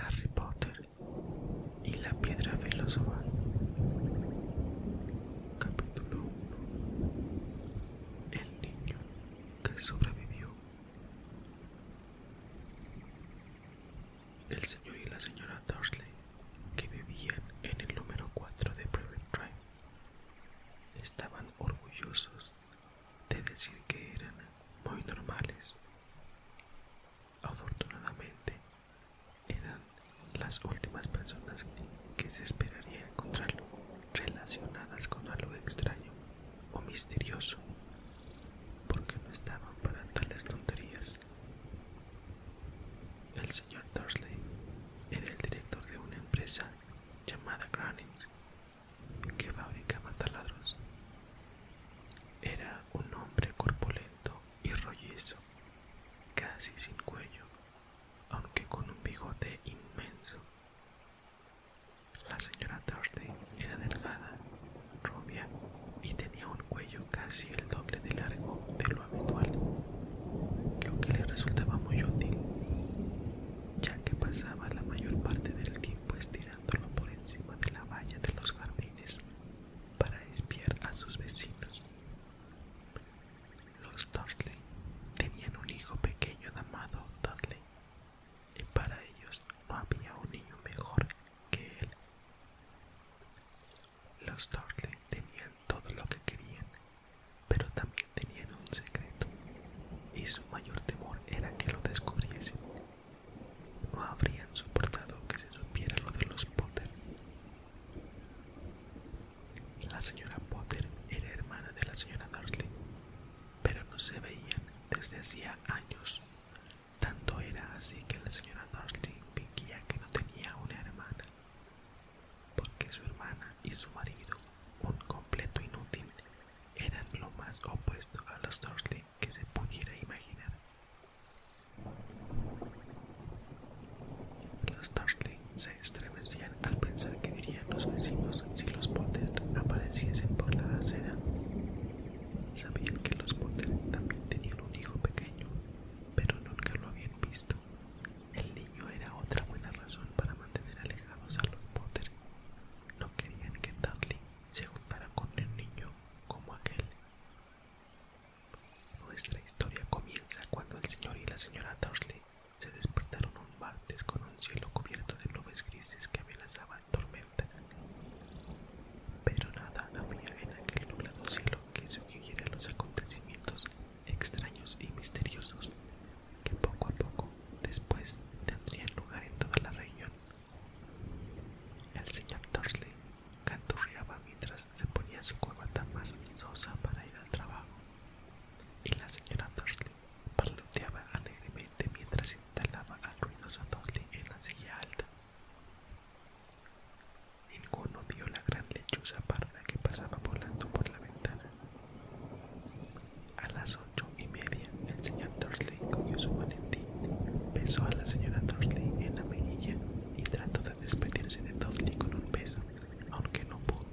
Harry Potter y la piedra filosofal. Capítulo 1. El niño que sobrevivió. El señor y la señora Dursley, que vivían en el número 4 de Private Drive, estaban orgullosos de decir que eran muy normales Afortunadamente, eran las últimas personas que se esperaría encontrarlo relacionadas con algo extraño o misterioso, porque no estaban para tales tonterías. El señor Dursley era el director de una empresa llamada Granings que fabricaba taladros. Era un hombre corpulento y rollizo, casi sin cuello, aunque con un bigote inmenso. La señora Thorstein era delgada, rubia y tenía un cuello casi el doble de largo de lo habitual, lo que le resultaba muy útil, ya que pasaba la mayor parte del tiempo estirada por encima de la valla de los jardines para espiar a sus vecinos. Los Dudley tenían un hijo pequeño llamado Dudley, y para ellos no había un niño mejor que él. Los Dudley tenían todo lo que querían, pero también tenían un secreto, y su mayor temor era que lo descubriesen. No habrían soportado que se supiera lo de los Potter. La señora Potter era hermana de la señora Dursley, pero no se veían desde hacía años. Tanto era así que la señora Dursley fingía que no tenía una hermana, porque su hermana y su marido, un completo inútil, eran lo más opuesto a los Dursley que se pudiera imaginar. Los Dursley se estremecían al pensar que dirían los vecinos si los Potter apareciesen por la acera. Sabían que los Potter también tenían un hijo pequeño, pero nunca lo habían visto. El niño era otra buena razón para mantener alejados a los Potter. No querían que Dudley se juntará con el niño como aquel. Nuestra historia comienza cuando el señor y la señora Dursley se despertaron un martes con un cielo cubierto de nubes grises que amenazaban tormenta. Pero nada había en aquel nublado cielo que sugiriera los acontecimientos extraños y misteriosos que poco a poco después tendrían lugar en toda la región. El señor Dursley canturreaba mientras se ponía su corbata más sosa para ir al trabajo, y la señora Dursley parloteaba alegremente mientras instalaba al ruidoso Dursley en la silla alta. Ninguno vio la gran lechuza parda que pasaba volando por la ventana. A las ocho y media, el señor Dursley cogió su maletín, besó a la señora Dursley en la mejilla y trató de despedirse de Dursley con un beso, aunque no pudo,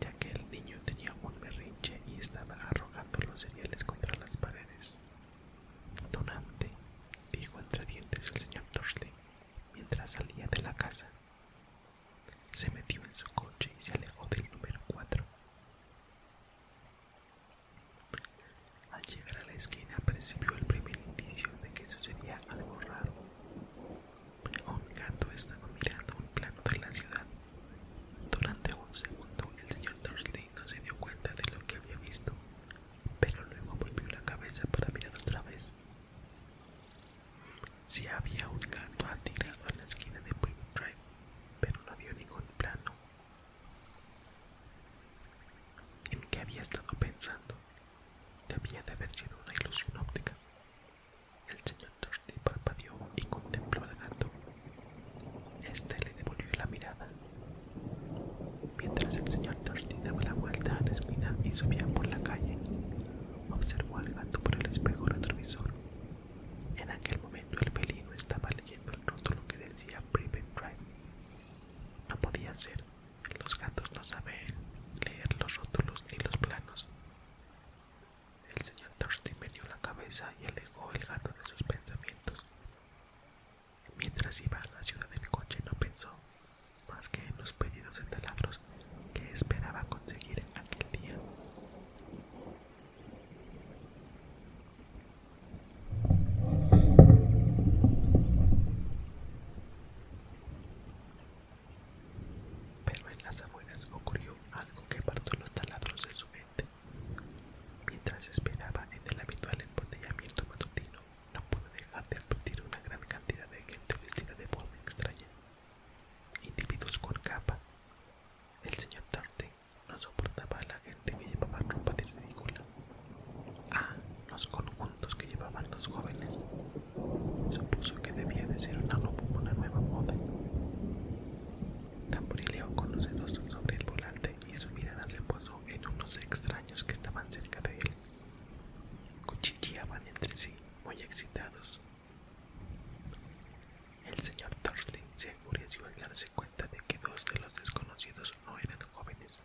ya que el niño tenía un berrinche y estaba arrojando los cereales contra las paredes. Donante, dijo entre dientes el señor Dursley mientras salía de la casa. Se metió en su coche y se alejó del número 4. Al llegar a la esquina percibió el primer indicio de que sucedía algo raro. Un gato estaba mirando un plano de la ciudad. Durante un segundo el señor Dursley no se dio cuenta de lo que había visto, pero luego volvió la cabeza para mirar otra vez. Si había un gato atirado a la esquina de Point Drive, pero no vio ningún plano ¿En qué había estado pensando? Debía de haber sido una ilusión óptica. El señor Dursley parpadeó y contempló al gato. Este le devolvió la mirada. Mientras el señor Dursley daba la vuelta a la esquina y subía por la calle, observó al gato por el espejo retrovisor. En aquel momento el pelín estaba leyendo rótulo que decía Private Drive. No podía ser, los gatos no saben leer los rótulos ni los planos. El señor Thurston meneó la cabeza y alejó el gato de sus pensamientos. Mientras iba a la ciudad del coche no pensó más que en los pedidos de taladros que esperaba conseguir aquel día. Pero en las afueras ocurrió algo que apartó los taladros de su mente. Mientras esperaba en el habitual embotellamiento matutino, no pudo dejar de advertir una gran cantidad de gente vestida de forma extraña. Individuos con capa. El señor Dante no soportaba a la gente que llevaba ropa de ridícula, a ah, los conjuntos que llevaban los jóvenes. Supuso que debía de ser una, una nueva moda. Tamburileo con los dedos sobre el volante y su mirada se posó en unos extraños que estaban cerca de él. Cuchicheaban entre sí, muy excitados. El señor Dursley se enfureció al darse cuenta de que dos de los desconocidos no eran jóvenes.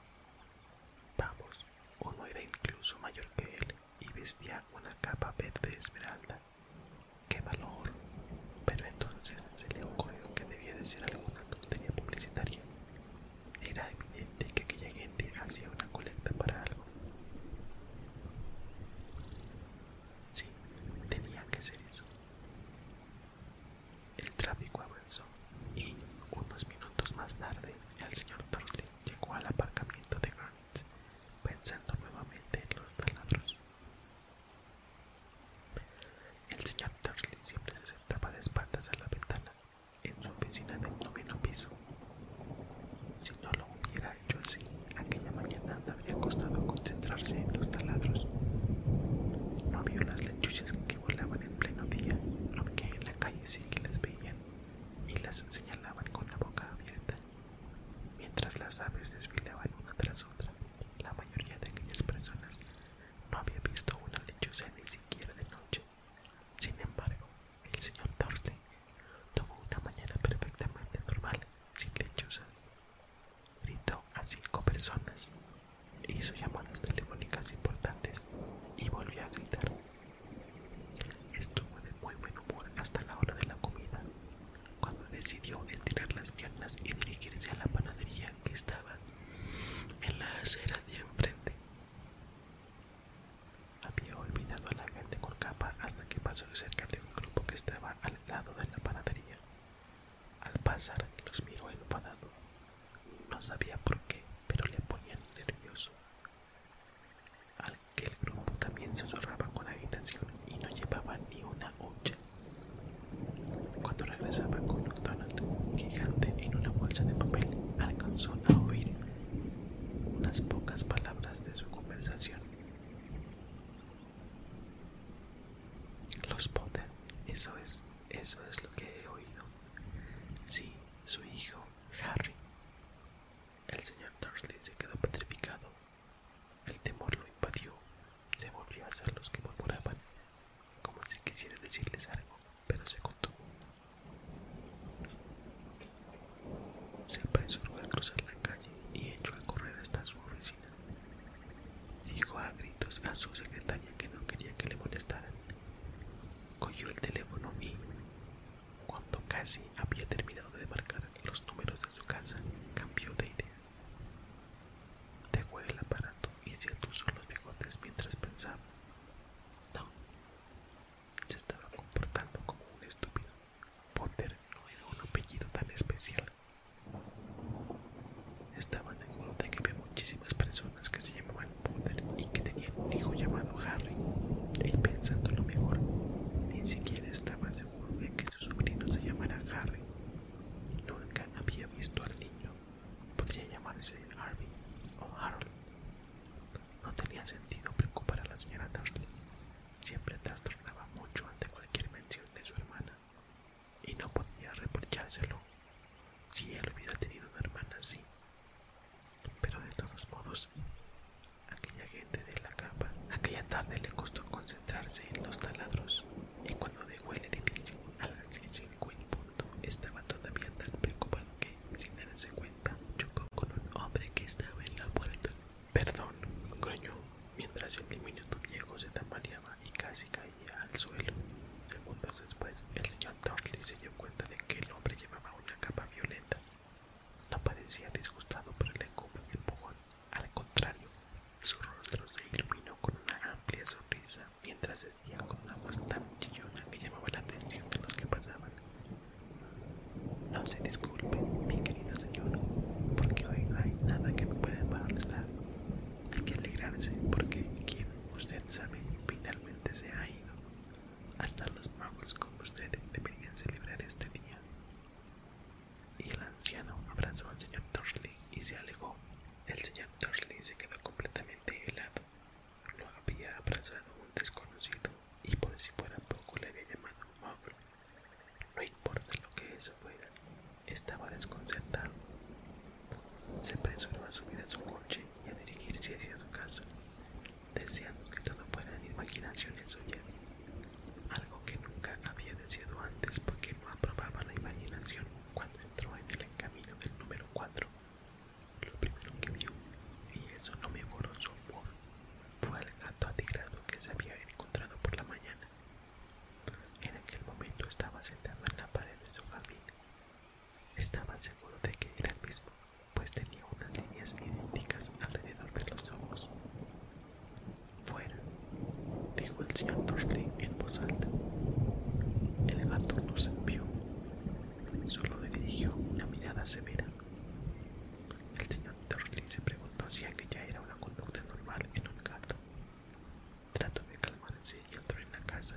Vamos, uno era incluso mayor que él y vestía una capa verde esmeralda. ¡Qué valor! Pero entonces se le ocurrió que debía de ser alguna tontería publicitaria. Era evidente que aquella gente hacía una colecta para algo. Sí, tenía que ser eso. El tráfico avanzó y, unos minutos más tarde, el señor Tursley llegó al aparcamiento de Granite, pensando nuevamente en los taladros. El señor Tursley siempre se sentaba de espaldas a la ventana en su oficina del noveno piso. Si no lo hubiera hecho así, aquella mañana le habría costado concentrarse en los taladros. No vio las lechuzas que volaban en pleno día, aunque en la calle sí que las veían y las señalaban con la boca abierta. Mientras las aves desfilaban una tras otra, la mayoría de aquellas personas no había visto una lechuza ni siquiera de noche. Sin embargo, el señor Dursley tuvo una mañana perfectamente normal, sin lechuzas gritó a cinco personas, hizo llamadas telefónicas importantes y volvió a gritar. Estuvo de muy buen humor hasta la hora de la comida, cuando decidió estirar las piernas y dirigirse a la panadería que estaba en la acera de enfrente. Había olvidado a la gente con capa hasta que pasó cerca de un grupo que estaba al lado de la panadería. Al pasar los miró enfadado. No sabía por qué, pero le ponían nervioso. Aquel el grupo también susurraba con agitación y no llevaba ni una hucha. Cuando regresaba con un gigante en una bolsa de papel, alcanzó a oír unas pocas palabras de su conversación. Los Potter, eso es, eso es lo que he oído. Sí, su hijo, Harry. El señor Dursley se quedó petrificado. El temor lo invadió. Se volvió a hacer los que murmuraban, como si quisiera decirles algo, pero se contuvo. Se apresuró a cruzar la calle y echó a correr hasta su oficina. Dijo a gritos a su secretaria que no quería que le molestaran. Cogió el teléfono y, cuando casi había terminado de marcar los números de su casa, cambió de idea. Dejó el aparato y se son los bigotes mientras pensaba. No, se estaba comportando como un estúpido. Potter no era un apellido tan especial estaba seguro de que había muchísimas personas que se llamaban Potter y que tenían un hijo llamado Harry. Él pensando lo mejor, ni siquiera estaba seguro de que su sobrino se llamara Harry. Nunca había visto al niño. Podría llamarse Harvey o Harold. No tenía sentido preocupar a la señora Dursley. Siempre trastornaba mucho ante cualquier mención de su hermana y no podía reprochárselo si él hubiera tenido una hermana así. Pero de todos modos, aquella gente de la capa, aquella tarde le costó concentrarse en los taladros, y cuando dejó el edificio a las punto, estaba todavía tan preocupado que, sin darse cuenta, chocó con un hombre que estaba en la puerta. Perdón, gruñó, mientras el diminuto viejo se tambaleaba y casi caía al suelo. Segundos después, el señor Dudley se dio cuenta de que el hombre llevaba una capa violeta. No parecía disgustado por el encumbre y empujón. Al contrario, su rostro se iluminó con una amplia sonrisa mientras decía con una voz tan chillona que llamaba la atención de los que pasaban. No se disculpe, mi querido señor, porque hoy no hay nada que me pueda molestar. Hay que alegrarse porque quien usted sabe finalmente se ha ido. Hasta los magos con usted deberían celebrar este día. Y el anciano abrazó al señor Dursley y se alejó. El señor Dursley se quedó completamente helado. Lo había abrazado un desconocido y por si fuera poco le había llamado No importa lo que eso fuera, estaba desconcertado. Se apresuró a subir a su coche y a dirigirse hacia su casa, deseando que todo fuera imaginación y sueño, algo que nunca había deseado antes porque no aprobaba la imaginación. Cuando entró en el camino del número 4, lo primero que vio, y eso no me me su humor, fue el gato atigrado que se había encontrado por la mañana. En aquel momento estaba sentado en la pared de su jardín. Estaba seguro de que era el mismo, pues tenía unas líneas idénticas alrededor de los ojos. Fuera, dijo el señor Dursley en voz alta. El gato no se vio, solo le dirigió una mirada severa. El señor Dursley se preguntó si aquella era una conducta normal en un gato. Trató de calmarse y entró en la casa.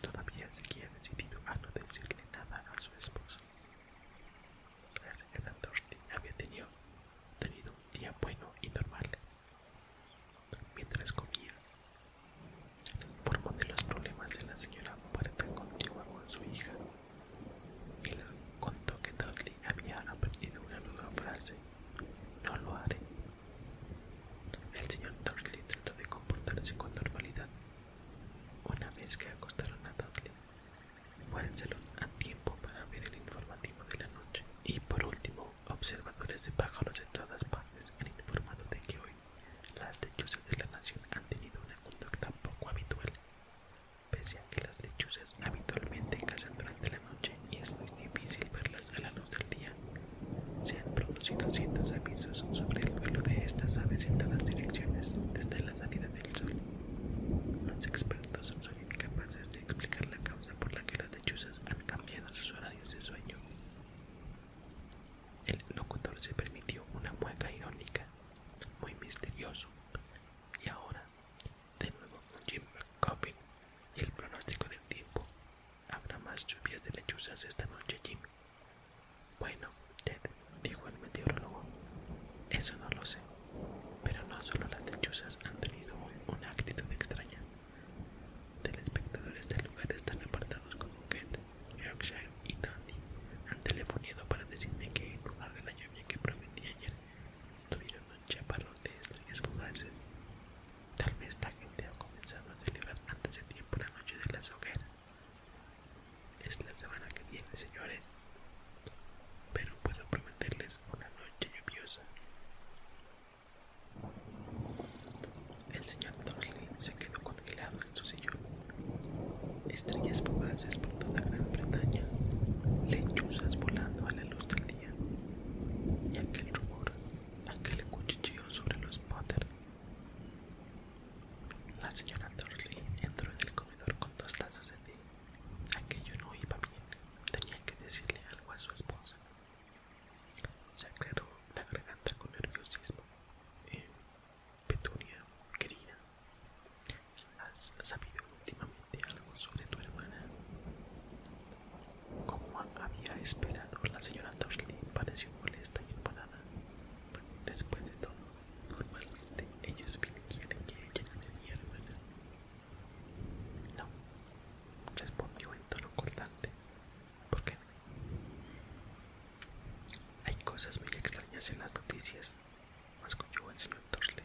Todavía seguía decidido a no decirle nada a su esposo. La señora Dorothy había tenido, tenido un día bueno y normal. Mientras comía, le informó de los problemas de la señora Marta o con su hija y le contó que Dorothy había aprendido una nueva frase: No lo haré. El señor Dudley trató de comportarse con normalidad. Una vez que acostaron a Dudley, fue a tiempo para ver el informativo de la noche. Y por último, observadores de pájaros en todas partes han informado de que hoy las lechuzas de la nación han tenido una conducta poco habitual, pese a que las lechuzas habitualmente cazan de la noche y es muy difícil verlas a la luz del día. Se han producido cientos de avisos sobre el vuelo de estas aves en todas direcciones desde la salida del sol. Los expertos son incapaces de explicar la causa por la que las lechuzas han cambiado sus horarios de sueño. El locutor se permitió una mueca irónica, muy misterioso. Y ahora, de nuevo, Jim McCoffin y el pronóstico del tiempo. Habrá más lluvias de lechuzas esta noche, Jimmy? Bueno, Ted, dijo el meteorólogo, eso no lo sé, pero no solo las lechuzas han tenido una actitud extraña. Telespectadores del este lugar están apartados como Kent, Yorkshire y Dundee han telefoneado para decirme que en lugar de la lluvia que prometí ayer, tuvieron un chaparrón de extrañas fugaces. Tal vez la gente ha comenzado a celebrar antes de tiempo la noche de las hogueras. Es la semana que viene, señores. Pero puedo prometerles una noche lluviosa. El señor Dursley se quedó congelado en su sillón. Estrellas fugaces por toda Gran Bretaña, lechuzas volando a la luz del día, y aquel rumor le cuchicheó sobre los Potter. La señora Dursley entró en el comedor con dos tazas de té. Aquello no iba bien. Tenía que decirle algo a su esposa. Se aclaró la garganta con nerviosismo. Eh, Petunia, querida, ¿has sabido últimamente algo sobre tu hermana? Como había esperado, la señora Dursley pareció molesta y enfadada. Después de todo, normalmente ellos quieren que ella no No, respondió en tono cortante. ¿Por qué? Hay cosas muy extrañas en las noticias, masculló el señor Dursley.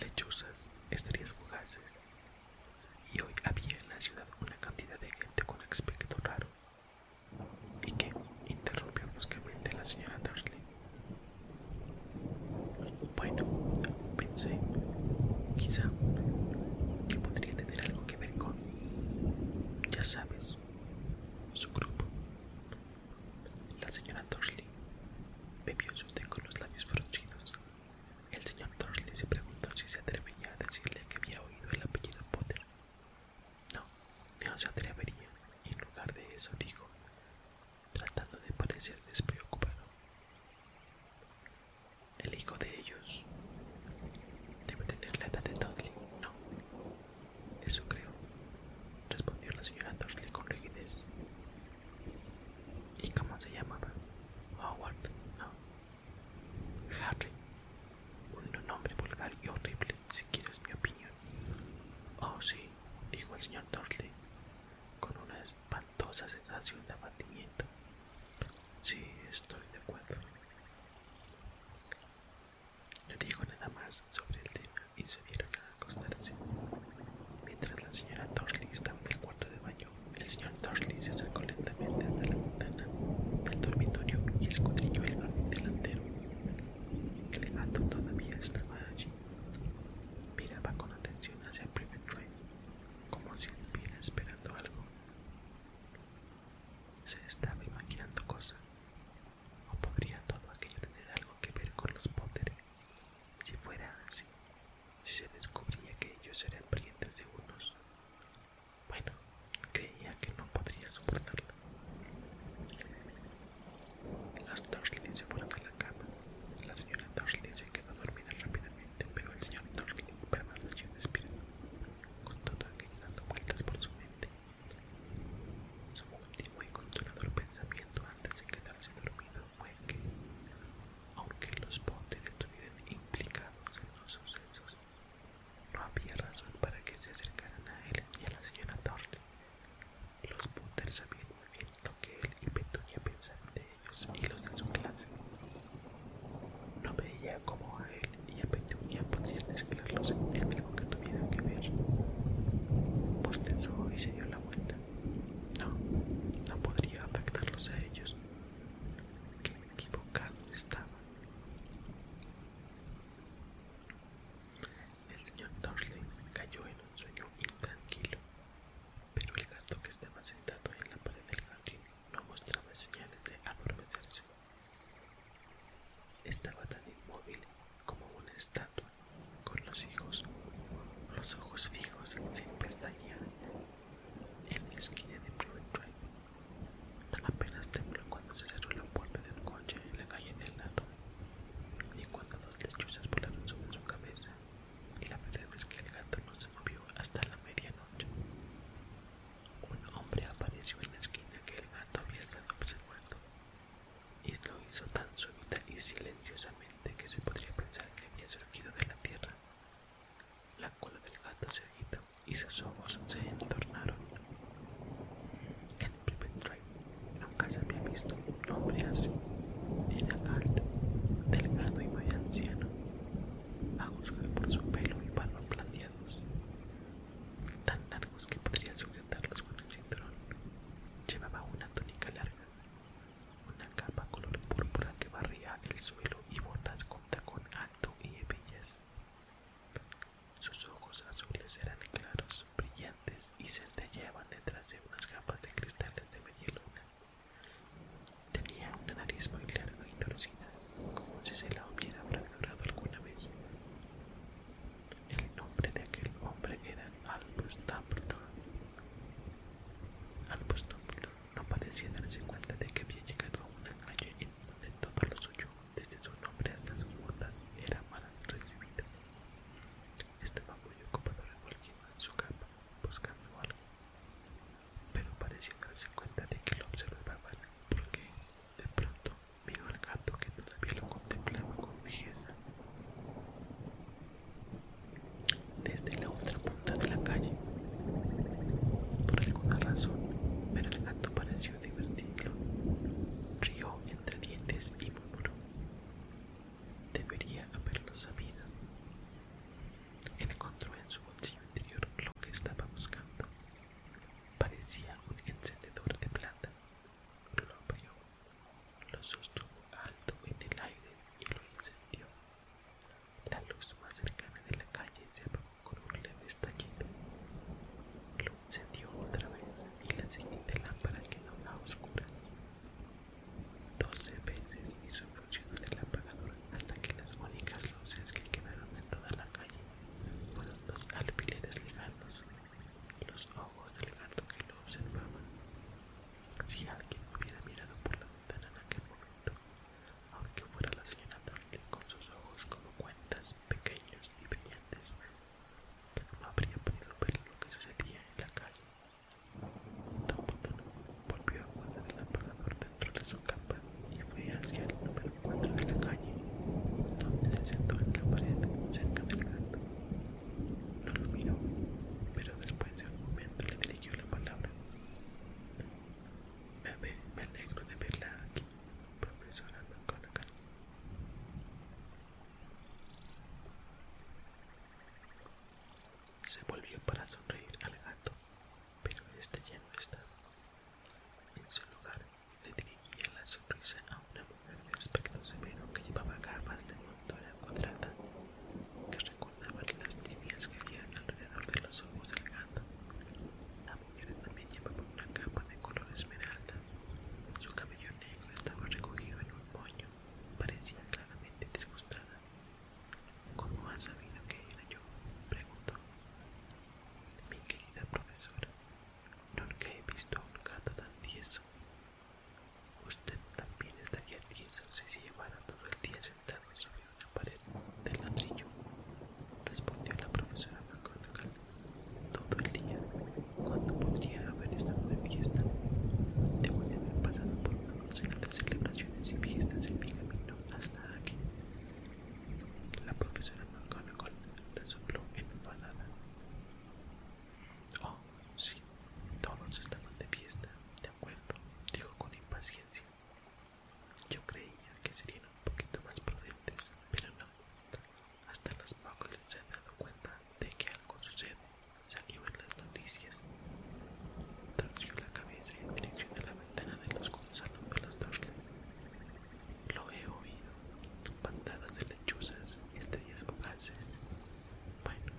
Lechuzas, estrellas fugaces, y hoy había en la ciudad una cantidad de gente con aspecto raro. ¿Y que interrumpió bruscamente la señora Dursley. Bueno, pensé, quizá que podría tener algo que ver con, ya sabes, su grupo. La señora Dursley bebió su té con los labios fruncidos el señor Dursley se preguntó si se atrevería a decirle que había oído el apellido Potter. No, no se atrevería, y en lugar de eso dijo, tratando de parecer despreocupado. El hijo de ellos debe tener la edad de Dursley, no. Eso creo, respondió la señora Dursley con rigidez. ¿Y cómo se llamaba? Howard, no. Harry, un nombre vulgar y horrible, si quieres mi opinión. Oh, sí, dijo el señor Dorsley, con una espantosa sensación de abatimiento. Sí, estoy de acuerdo. No dijo nada más sobre el tema y se dieron a acostarse, mientras la señora Dorsley estaba en el cuarto de baño el señor Dursley se sacó lentamente hasta la ventana del dormitorio y escudriñó el jardín delantero. El gato todavía estaba allí. Miraba con atención hacia el primer tren, como si estuviera esperando algo. Se estaba imaginando cosas. ¿O podría todo aquello tener algo que ver con los Potter? Si fuera así, si se descubría que ellos eran brillantes de unos, bueno, creía que no podría soportarlo. Las Dursley se fueron a la cama. La señora Dursley se quedó dormida rápidamente, pero el señor Dursley permaneció despierto, con todo aquello dando vueltas por su mente. Su último y el pensamiento antes de quedarse dormido fue que, aunque los Potter estuvieran implicados en los sucesos no había razón para que se acercaran a él y a la señora Torte. Los Potter sabían muy bien lo que él y Petunia pensaban de ellos y los de su clase. No veía cómo a él y a Petunia podrían mezclarlos en algo que tuvieran que ver. Postensó y se dio la vuelta. No, no podría afectarlos a ellos. Qué equivocado estaba. El señor Dursley cayó en un sueño intranquilo, pero el gato que estaba sentado en la pared del jardín no mostraba señales de adormecerse. Estaba tan inmóvil como una estatua, con los hijos, los ojos fijos sin pestañear en la esquina de Private Apenas tembló cuando se cerró la puerta de un coche en la calle del lado y cuando dos lechuzas volaron sobre su cabeza. Y la verdad es que el gato no se movió hasta la medianoche. Un hombre apareció en la esquina que el gato había estado observando y lo hizo tan súbita y silenciosamente que se podría pensar que había surgido de la tierra. La cola del gato se agitó y sus ojos se entornaron. En Pipendrive nunca se había visto un hombre así. Era alto, delgado y muy anciano, a juzgar por su pelo y barba planteados, tan largos que podría sujetarlos con el cinturón. Llevaba una túnica larga, una capa color púrpura que barría el suelo y botas con alto y hebillas. Sus ojos azules eran claros, brillantes y centelleaban detrás de unas capas de cristales de media Tenía una nariz muy larga y torcida, como si se la hubiera fracturado alguna vez. El nombre de aquel hombre era Albus Dumbledore. Albus no parecía darse cuenta de que había llegado a una calle donde todo lo suyo, desde su nombre hasta sus botas, era mal recibido. Estaba muy ocupado revolviendo en su capa, buscando algo, pero parecía darse cuenta de que lo observaba mal, porque de pronto vio al gato que todavía lo contemplaba con fijeza. Desde la otra punta de la calle por alguna razón, ver el gato pareció divertirlo. Rió entre dientes y murmuró. Debería haberlo sabido. Encontró en su bolsillo interior lo que estaba buscando. Parecía un encendedor de plata. Lo abrió, lo sostuvo alto en el aire y lo incendió. La luz más cercana de la calle se apagó con un leve estallido. Lo encendió otra vez y la siguiente lámpara quedó la oscura, Doce veces hizo funcionar el apagador hasta que las únicas luces que quedaron en toda la calle fueron los alfileres y los ojos del gato que lo observaban. Si alguien hubiera mirado por la ventana en aquel momento, aunque fuera la señora Darling con sus ojos como cuentas pequeños y brillantes, no habría podido ver lo que sucedía en la calle. Dumbledore volvió a guardar el apagador dentro de su capa y fue hacia el número 4 de la calle, donde se sentó en la pared cerca del gato. No lo miró, pero después de un momento le dirigió la palabra. Me, me alegro de verla aquí, con McConaughey. Se volvió para sonreír al gato, pero este ya no estaba. En su lugar, le dirigía la sonrisa a una mujer de aspecto severo que llevaba gafas de montura cuadrada que recordaban las líneas que había alrededor de los ojos del gato. Ella también llevaba una capa de color esmeralda. Su cabello negro estaba recogido en un moño. Parecía claramente disgustada. —¿Cómo has sabido que era yo? —preguntó. —Mi querida profesora, nunca he visto a un gato tan tieso. Usted también estaría tieso si se llevara todo el día sentado en su la pared del ladrillo, respondió la profesora McGonagall. Todo el día, cuando podría haber estado de fiesta, debo de haber pasado por una docena de celebraciones y fiestas en mi camino hasta aquí. La profesora McGonagall resopló enfadada. Oh, sí, todos estaban de fiesta, de acuerdo, dijo con impaciencia. Yo creía que serían un poquito más prudentes, pero no. Hasta los pocos se han dado cuenta de que algo sucede. Salió en las noticias. Torció la cabeza en dirección a la ventana de los salón de las dos Lo he oído. Pantadas de lechuzas, estrellas fugaces. Bueno,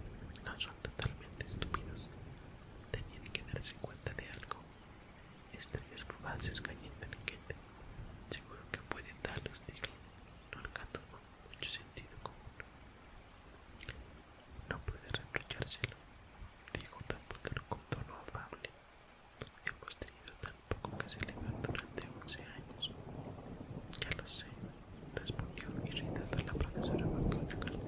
no son totalmente estúpidos. Tenían que darse cuenta de algo. Estrellas fugaces cayendo en el Seguro que pueden de tal no alcanzó mucho sentido común. No puede reprochárselo, dijo tan con tono afable. Hemos tenido tan poco que se celebrar durante once años. Ya lo sé, respondió irritada la profesora McGonagall.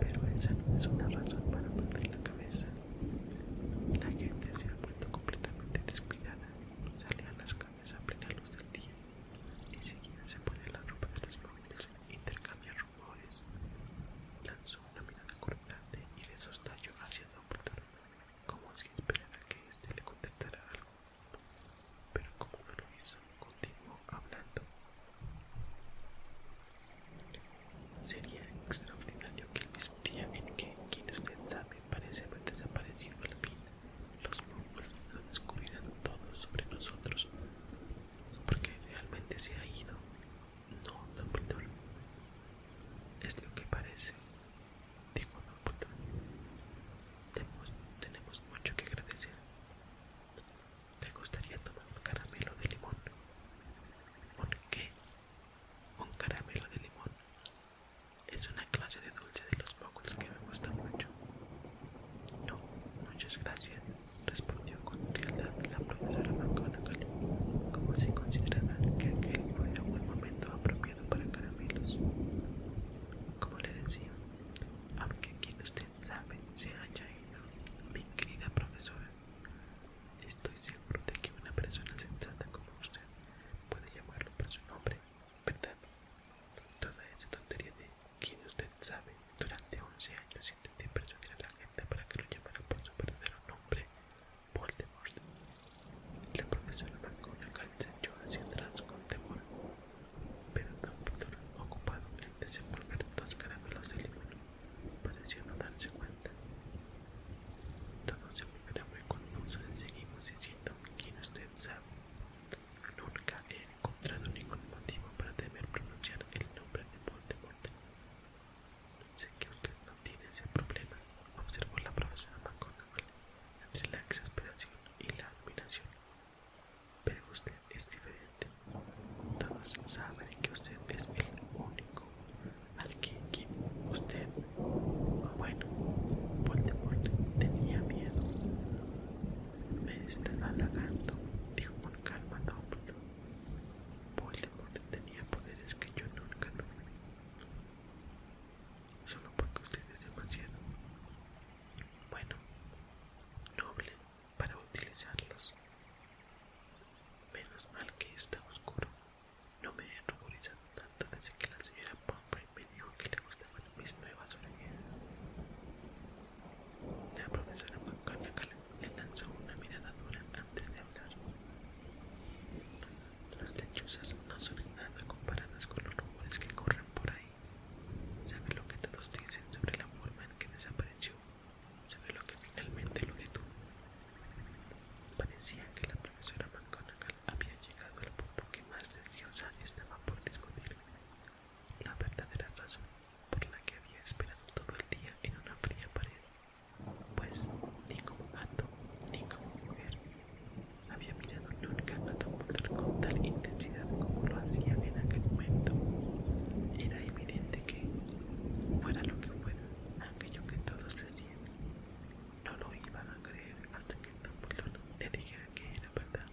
Pero esa no es una razón para perder la cabeza. La gente se ha vuelto completamente descuidada, salían las calles a plena luz del día, y se pone la ropa de los móviles, intercambia rumores. Lanzó una mirada cortante y le sostallo hacia Dumbledore, como si esperara que éste le contestara algo. Pero como no lo hizo, continuó hablando. Sería extraordinario que el mismo día en que quien usted sabe parece haber desaparecido al fin, los mongoles lo descubrirán todo sobre nosotros, porque realmente se ha ido. No, Dumbledore. Es lo que parece, dijo Dumbledore. Tenemos, tenemos mucho que agradecer. ¿Le gustaría tomar un caramelo de limón? ¿Por qué? un caramelo de limón. Es una clase de dulce de los pocos que me gusta mucho. No, muchas gracias, respondió con frialdad la profesora McGonagall, como si considerara que aquel era un momento apropiado para caramelos. Como le decía, aunque quien usted sabe se haya ido, mi querida profesora, Estoy seguro de que una persona sensata como usted puede llamarlo por su nombre, ¿verdad? Toda esa tontería de quien usted sabe durante 11 años intenté persuadir a la gente para que lo llamara por su verdadero nombre, Voldemort. La profesora marcó una calza yo hacia atrás con temor, pero Dumbledore, ocupado en desenvolver dos caramelos de limón Pareció no darse cuenta. Todo se volvieron muy confuso y seguimos diciendo quién usted sabe. Nunca he encontrado ningún motivo para temer pronunciar el nombre de Voldemort. Sé que usted no tiene ese problema, observó la próxima McGonagall entre la exasperación y la admiración. Pero usted es diferente. Todos saben que usted es el único al que Usted, bueno, Voldemort tenía miedo. Me estaba halagando, dijo con calma Dumbledore. Voldemort tenía poderes que yo nunca tuve. Solo porque usted es demasiado. Bueno, noble para utilizarlos. Menos mal que está oscuro. No me he ruborizado tanto desde que la señora Pomper me dijo que le gustaban mis nuevas orejeras. La profesora McConaughey le lanzó una mirada dura antes de hablar. Las lechuzas no son nada comparadas con los rumores que corren por ahí. ¿Sabe lo que todos dicen sobre la forma en que desapareció sobre lo que finalmente lo detuvo. Parecía que la profesora McGonagall había llegado al punto que más deseosa estaba por discutir. La verdadera razón por la que había esperado todo el día en una fría pared, pues ni como gato ni como mujer había mirado nunca a Tom con tal intensidad como lo hacía en aquel momento. Era evidente que, fuera lo que fuera, aquello que todos decían no lo iban a creer hasta que Dumbledore le dijera que era verdad.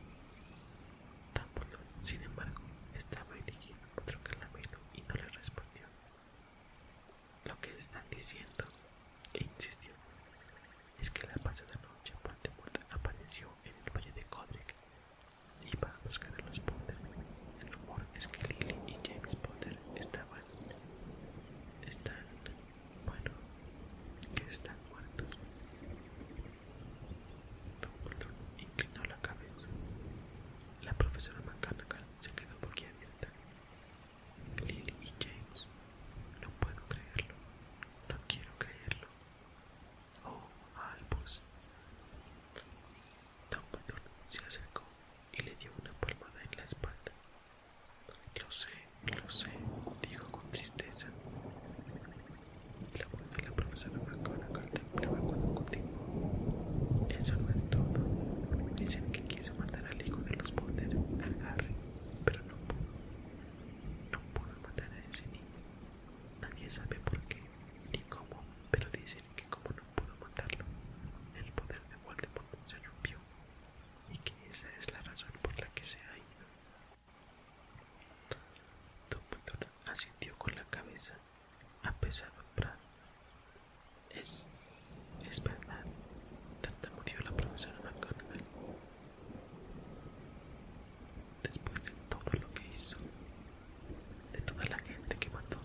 Dumbledore, sin embargo, estaba eligiendo otro caramelo y no le respondió. Lo que están diciendo, e insistió, es que la pasada noche Voldemort apareció en el valle de y Iba a buscar a los Potter. El rumor es que Lily y James Potter está estaban, están, bueno, que están muertos. Burton inclinó la cabeza. La profesora McGonagall se quedó abierta Lily y James, no puedo creerlo, no quiero creerlo. Oh, Albus. Dumbledore se acercó y le dio una palmada en la espalda. Lo sé, lo sé, dijo con tristeza. La voz de la profesora McGonagall temblaba cuando continuó. Eso no es todo. Dicen que quiso matar al hijo de los poderes, a pero no pudo. No pudo matar a ese niño. Nadie sabe por qué ni cómo, pero dicen que como no pudo matarlo, el poder de Voldemort se rompió, y que esa es la razón por la que se ha ido. Dumbledore asintió con la cabeza, apesadumbrado. Es, es verdad, tartamudeó la profesora McGonagall. Después de todo lo que hizo, de toda la gente que mató,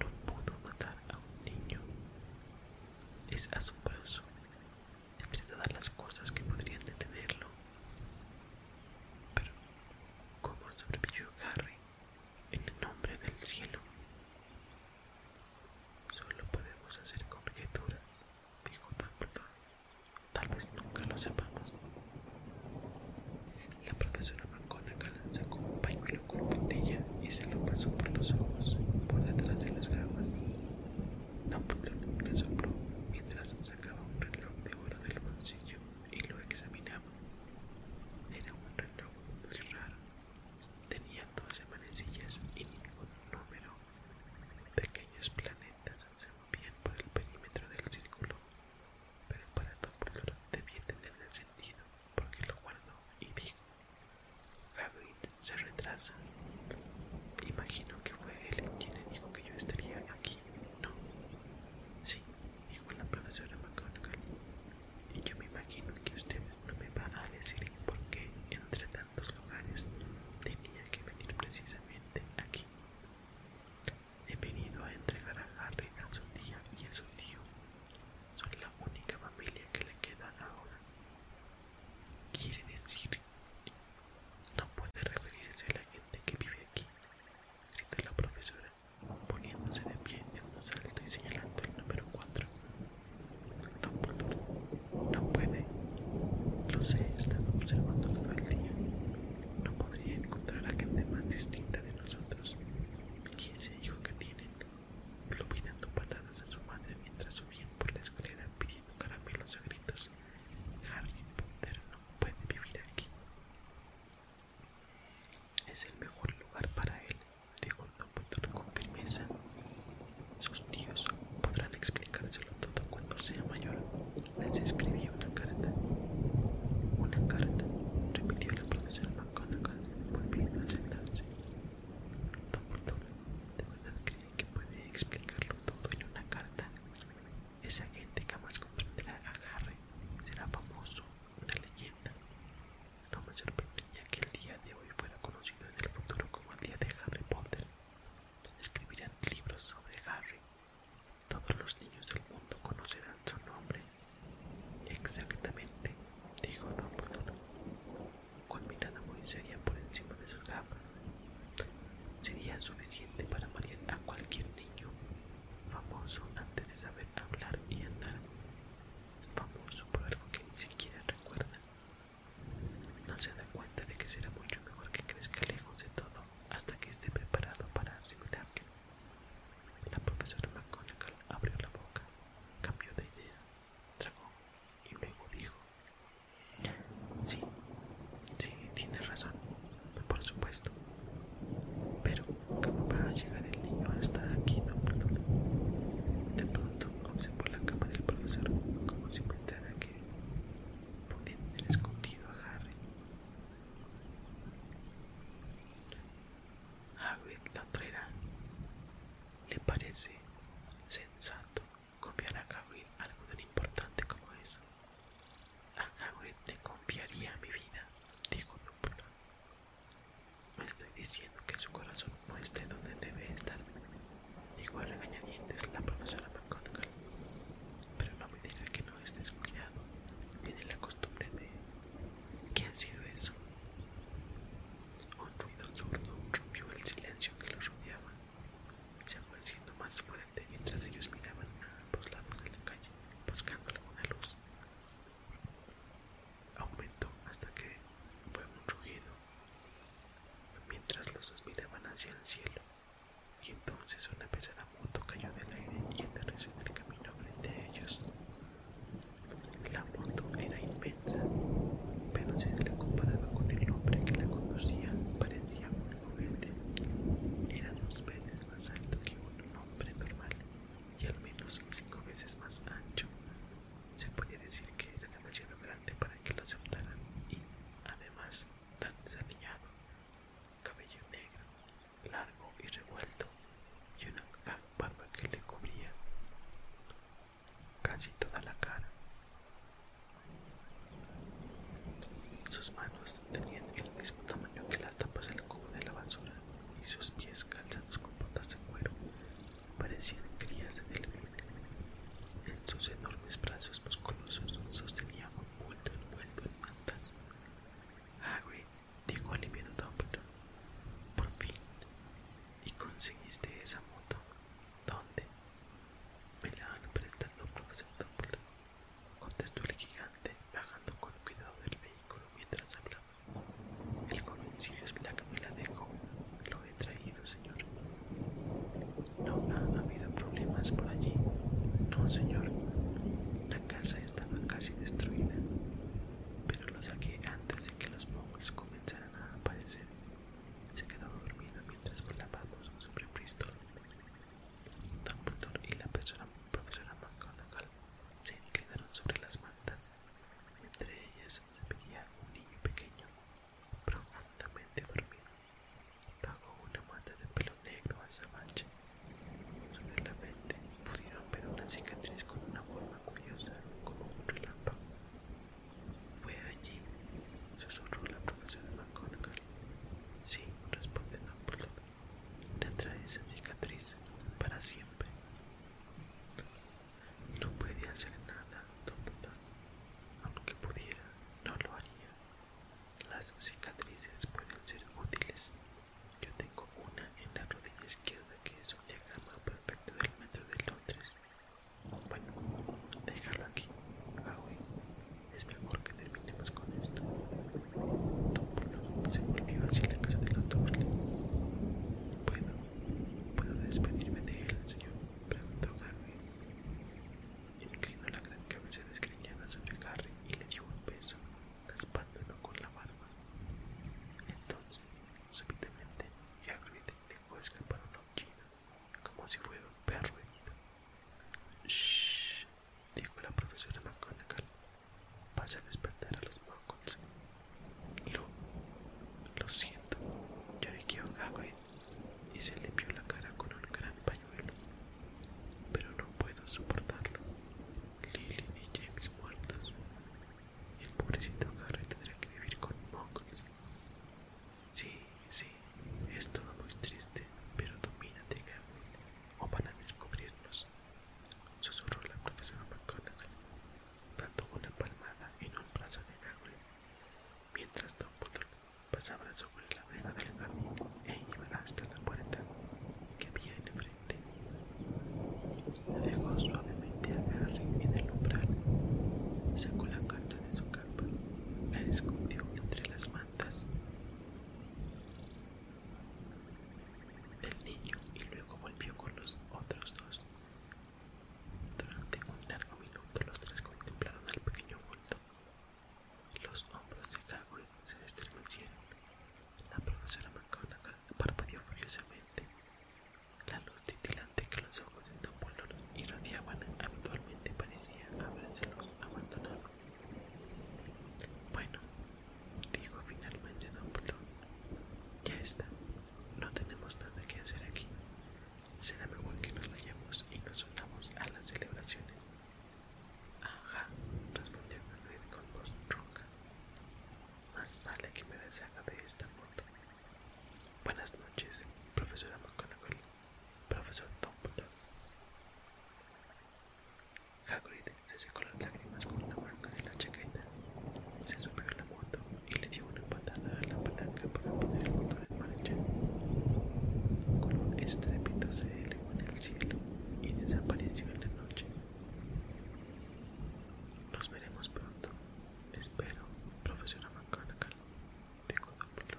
no pudo matar a un niño. Es asombroso, entre todas las cosas que podrían detenerlo. Pero, ¿cómo sobrevivió Harry en el nombre del cielo? Solo podemos hacer conjeturas, dijo Dumbledore. Tal vez nunca lo sepamos. La profesora la la sacó un pañuelo con puntilla y se lo pasó por los ojos, por detrás de las gafas. Dumbledore le sopló mientras sacaba un reloj de oro del bolsillo y lo examinaba. Era un reloj muy raro. Tenía 12 manecillas y ningún número. Pequeños planetas se movían por el perímetro del círculo, pero para Dumbledore debía tener el sentido porque lo guardo y dijo, Harry se retrasa. Imagino que fue él quien le dijo que yo estaría aquí, ¿no? Sí, dijo la profesora McGonagall. Y yo me imagino que usted no me va a decir por qué entre tantos lugares tenía que venir precisamente aquí. He venido a entregar a Harry a su tía y a su tío soy la única familia que le queda ahora. Quiere decir... No puede referirse a la gente que vive aquí, gritó la profesora, poniéndose de pie en un salto y señalando el número 4. No no puede. Lo sé, he observando todo el día. No podría encontrar a gente más distinta de nosotros. Y ese hijo que tienen lo dando patadas a su madre mientras subían por la escalera pidiendo caramelos a gritos. Harry Potter no puede vivir aquí. Es el mejor lugar para él, dijo Dumbledore con firmeza. Sus tíos podrán explicárselo todo cuando sea mayor. Les escribí una carta. Una carta, repitió la profesora McGonagall, volviendo a sentarse. ¿de verdad cree que puede explicarlo todo en una carta? Esa gente jamás comprenderá a Harry, será famoso, una leyenda. No me sorprendería que el día de hoy fuera conocido en el futuro como el día de Harry Potter. Escribirán libros sobre Harry. Todos los niños del mundo conocerán su nombre Exactamente, dijo Don Dumbledore, con mirada muy seria por encima de sus gafas. Sería suficiente para marear a cualquier niño famoso antes de saber hablar y andar. Famoso por algo que ni siquiera recuerda. No se da cuenta de que será mucho mejor que crezca lejos de todo hasta que esté preparado para asimilarlo. La profesora McGonagall abrió la boca Cambió de idea, tragó y luego dijo: Sí, sí, tienes razón, por supuesto. Pero, ¿cómo va a llegar el niño hasta aquí, Dumbledore? De pronto observó la cama del profesor como si pensara que podía tener escondido a Harry. Hagrid la traerá. ¿Le parece sensato confiar a Hagrid algo tan importante como eso? A Hagrid te confiaría mi vida, dijo No estoy diciendo que su corazón no esté donde debe estar, dijo regañadientes la profesora McGonagall. Pero no me diga que no estés cuidado. Tiene la costumbre de... ¿Qué ha sido eso? Un ruido sordo rompió el silencio que los rodeaba. Se fue más fuerte mientras ellos miraban a ambos lados de la calle, buscando alguna luz. Aumentó hasta que fue un rugido, mientras los dos miraban hacia el cielo, y entonces una pesada moto cayó del aire y aterrizó en el camino frente a ellos. La moto era inmensa, pero si se la comparaba con el hombre que la conducía, parecía un Era dos veces más alto que un hombre normal y al menos cinco veces más ancho. Se podía decir que era demasiado grande para que lo aceptaran y, además, tan desafiado, Cabello negro, largo y revuelto, y una caja barba que le cubría casi toda la cara. Sus manos tenían el mismo tamaño que las tapas del cubo de la basura y sus pies calzados con botas de cuero parecían crías del delfín. En sus enormes brazos musculosos sostenía un vuelto envuelto en mantas. Hagrid dijo aliviado Dumbledore. Por fin, ¿Y conseguiste esa moto? ¿Dónde? Me la han prestado, profesor Dumbledore, contestó el gigante, bajando con cuidado del vehículo mientras hablaba. El es mira que me la dejó. Lo he traído, señor. No ha habido problemas por allí. No, señor. La casa estaba casi destruida, pero lo saqué antes de que los monjes comenzaron a aparecer. Se quedó dormida mientras volábamos sobre Bristol. Dumbledore y la persona, profesora McGonagall se inclinaron sobre las mantas. Entre ellas se veía un niño pequeño, profundamente dormido, bajo una manta de pelo negro azabache. Sobre la mente pudieron ver una cicatriz con una forma curiosa como un relámpago. —¿Fue allí? —susurró la profesora McGonagall. —Sí —respondió Dumbledore—, trae esa cicatriz para siempre. No puede hacer nada, Aunque pudiera, no lo haría. Las cicatrices pueden ser útiles. Yo tengo una en la rodilla izquierda que es un diagrama perfecto del metro de Londres. Bueno, déjalo aquí, ah, Es mejor que terminemos con esto. se volvió hacia la casa de los dos, ¿Puedo? ¿Puedo despedirme de él, señor? Preguntó Harry. Inclinó la gran cabeza desgreñada sobre Harry y le dio un beso, raspándolo con la barba. Entonces, súbitamente, y Hagrid dejó escapar un ojito. como si fuera un perro herido. —¡Shh! —dijo la profesora McGonagall—, vas a despertar a los mocos. —Lo... lo siento —lloriqueó Hagrid, y se le vio la cara con un gran pañuelo. —Pero no puedo soportarlo. Lily y James muertos, el pobrecito Harry tendrá que vivir con mocos. Sí, sí, es todo muy triste, pero domínate, Gabriel, o van a descubrirnos. Susurró la profesora McGonagall, dando una palmada en un brazo de Gabriel, mientras Dumbledore pasaba sobre la vega del jardín e iba hasta la puerta que había enfrente. La dejó suavemente a Harry en el umbral. Sacó la carta de su capa. La escondió entre las mantas del niño y luego volvió con los otros dos. Durante un largo minuto los tres contemplaron al pequeño bulto. Los hombros de Hagrid se estremecieron. La profesora McConaughey parpadeó furiosamente la luz titilante que los ojos de Dumbledore irradiaban habitualmente parecía habérselos abandonado. Bueno, dijo finalmente Dumbledore, ya está, no tenemos nada que hacer aquí. Será mejor que nos vayamos y nos unamos a las celebraciones. Ajá, respondió Hagrid con voz ronca. Más vale que me deshaga de esta moto. Buenas noches, profesora McGonagall, profesor Dumbledore. Hagrid se secó las lágrimas con la manga de la chaqueta, se subió a la moto y le dio una empatada a la palanca para poner el motor en marcha. Con un estrépito se elevó en el cielo y desapareció en la noche. Nos veremos pronto, Espero, profesora McConaughey, dijo Dumbledore,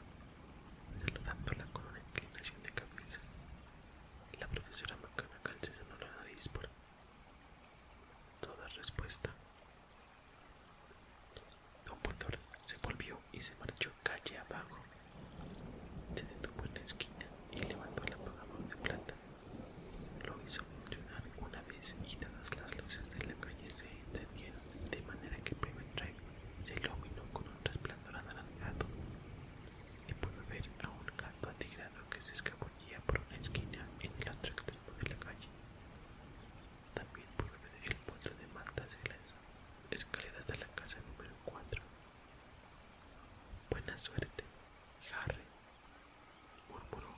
con una inclinación de cabeza. La profesora McConaughey se sonó la dispora. toda respuesta. Dumbledore se volvió y se marchó calle abajo. Se detuvo en la esquina y levantó el apagador de plata lo hizo funcionar una vez y todas las luces de la calle se encendieron, de manera que primer se iluminó con un resplandor anaranjado y pudo ver a un gato atigrado que se escabullía por una esquina en el otro extremo de la calle. También pudo ver el puerto de mantas y las escaleras de la casa número 4. Buena suerte, Harry, murmuró.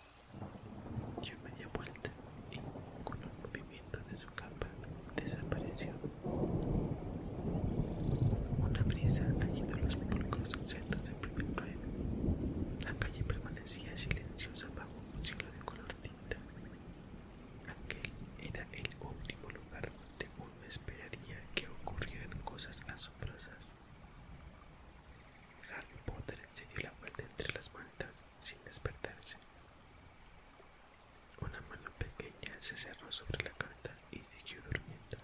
Dio media vuelta y, con los movimientos de su capa, desapareció. Una brisa agitó los públicos insectos del primer ruedo. La calle permanecía silenciosa bajo un cielo de color tinta. Aquel era el último lugar donde uno esperaría que ocurrieran cosas asombrosas. Harry Potter se dio la vuelta entre las mantas sin despertarse. Una mano pequeña se cerró sobre la carta y siguió durmiendo,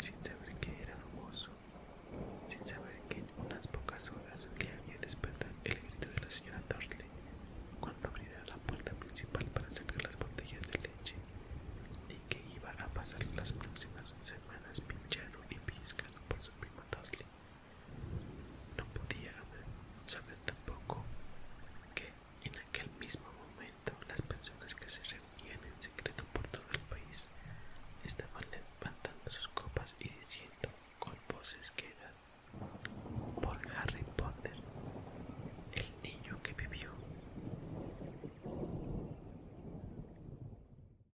sin saber que era famoso, sin saber que en unas pocas horas le había despertado el grito de la señora Dursley cuando abriera la puerta principal para sacar las botellas de leche y que iba a pasar las próximas semanas pinchado y pizca por su prima No podía saber tampoco que en aquel mismo momento las personas que se reunían en secreto por todo el país estaban levantando sus copas y diciendo con voces quedas por Harry Potter, el niño que vivió.